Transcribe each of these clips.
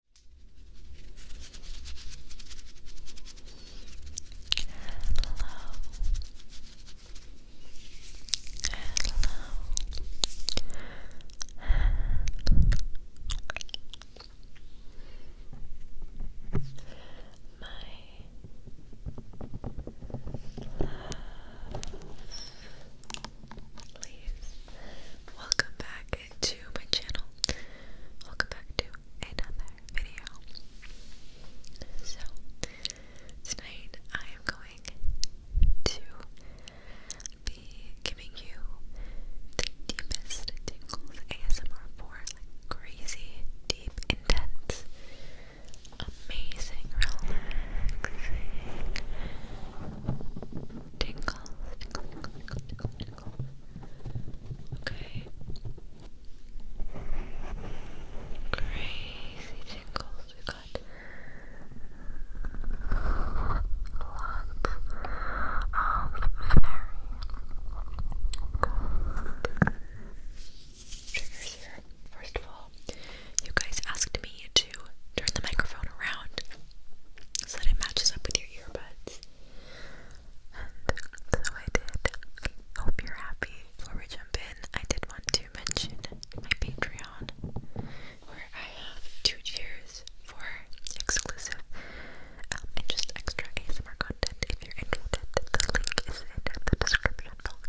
love. Please welcome back to my channel. Welcome back to another video. So, tonight I am going to be giving you the deepest tingles ASMR for crazy, deep, intense, amazing, relaxing tingles, Okay. Crazy tingles. We got lots of very triggers here. First of all, you guys asked me to turn the microphone around so that it matches up with your earbuds. And so I did. Hope you're happy. Before we jump in, I did want to mention my Patreon, where I have two tiers for exclusive um, and just extra ASMR content. If you're interested, the link is in the description box.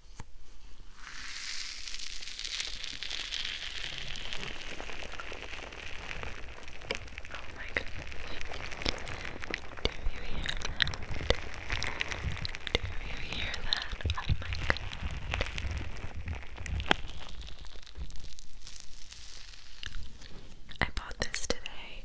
Oh my goodness. Do you hear that? Do you hear that? Oh my god. I bought this today.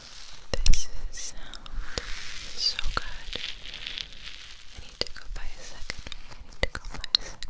This sound is so good. I need to go buy a second one. I need to go buy a second one.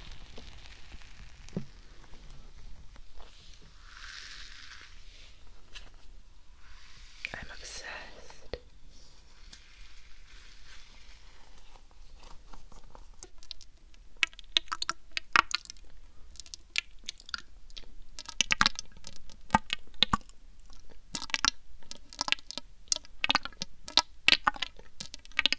I'm obsessed.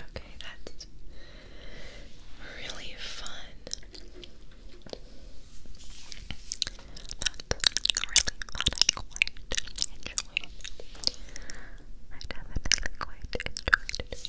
Okay, that's really fun. That's really fun. I definitely quite enjoyed it.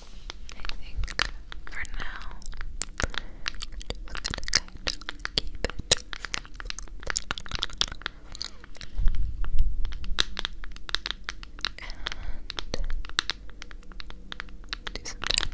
I think for now, I'm gonna keep it And do some tapping. Some tapping. Whisper.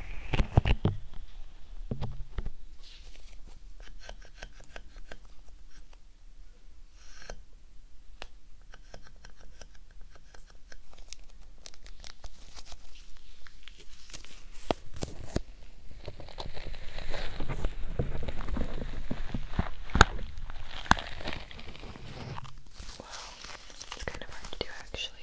Wow, it's kind of hard to do actually.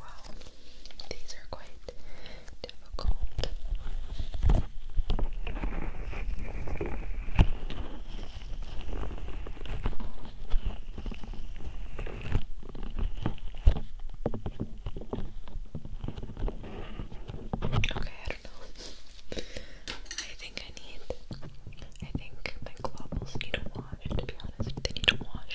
Wow, these are quite difficult. Okay, I I think I need. I think my globals need a wash. To be honest, they need a wash.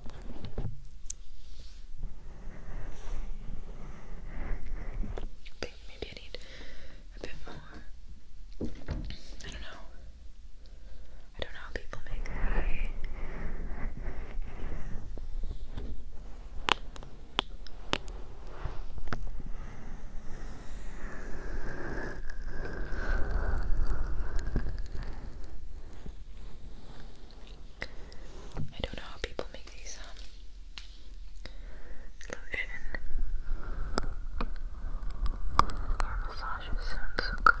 But maybe I need a bit more. I don't know. I don't know how people make eye. I don't know how people make these um lotion or massages so good.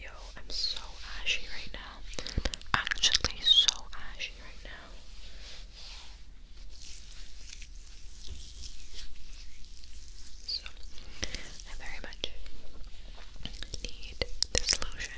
yo, I'm so ashy right now. Actually, so ashy right now. So, I very much need this lotion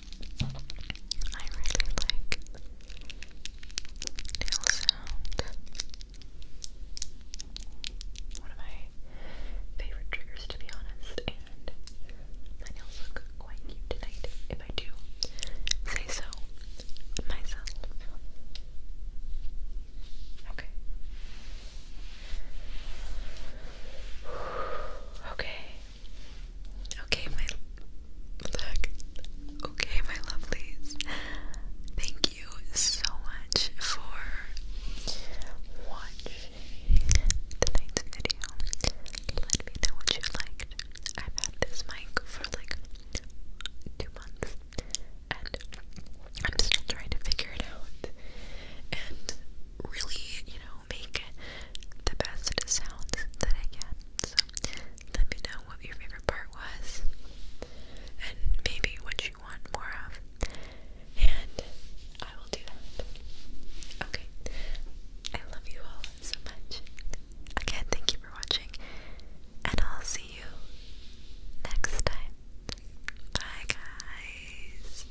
I really like nail sound. One of my favorite triggers, to be honest, and nails look quite cute tonight, if I do say so myself. Okay. Okay. Okay, my look. Okay, my lovelies. Thank you so much for watching tonight's video. Let me know what you liked. I've had this mic for like two months and I'm still trying to figure it out. And really, you know, make the best sounds that I can. So let me know what your favorite part was and maybe what you want more of. And I will do that. Okay. I love you all so much. Again, thank you for watching. And I'll see you next time. Bye, guys.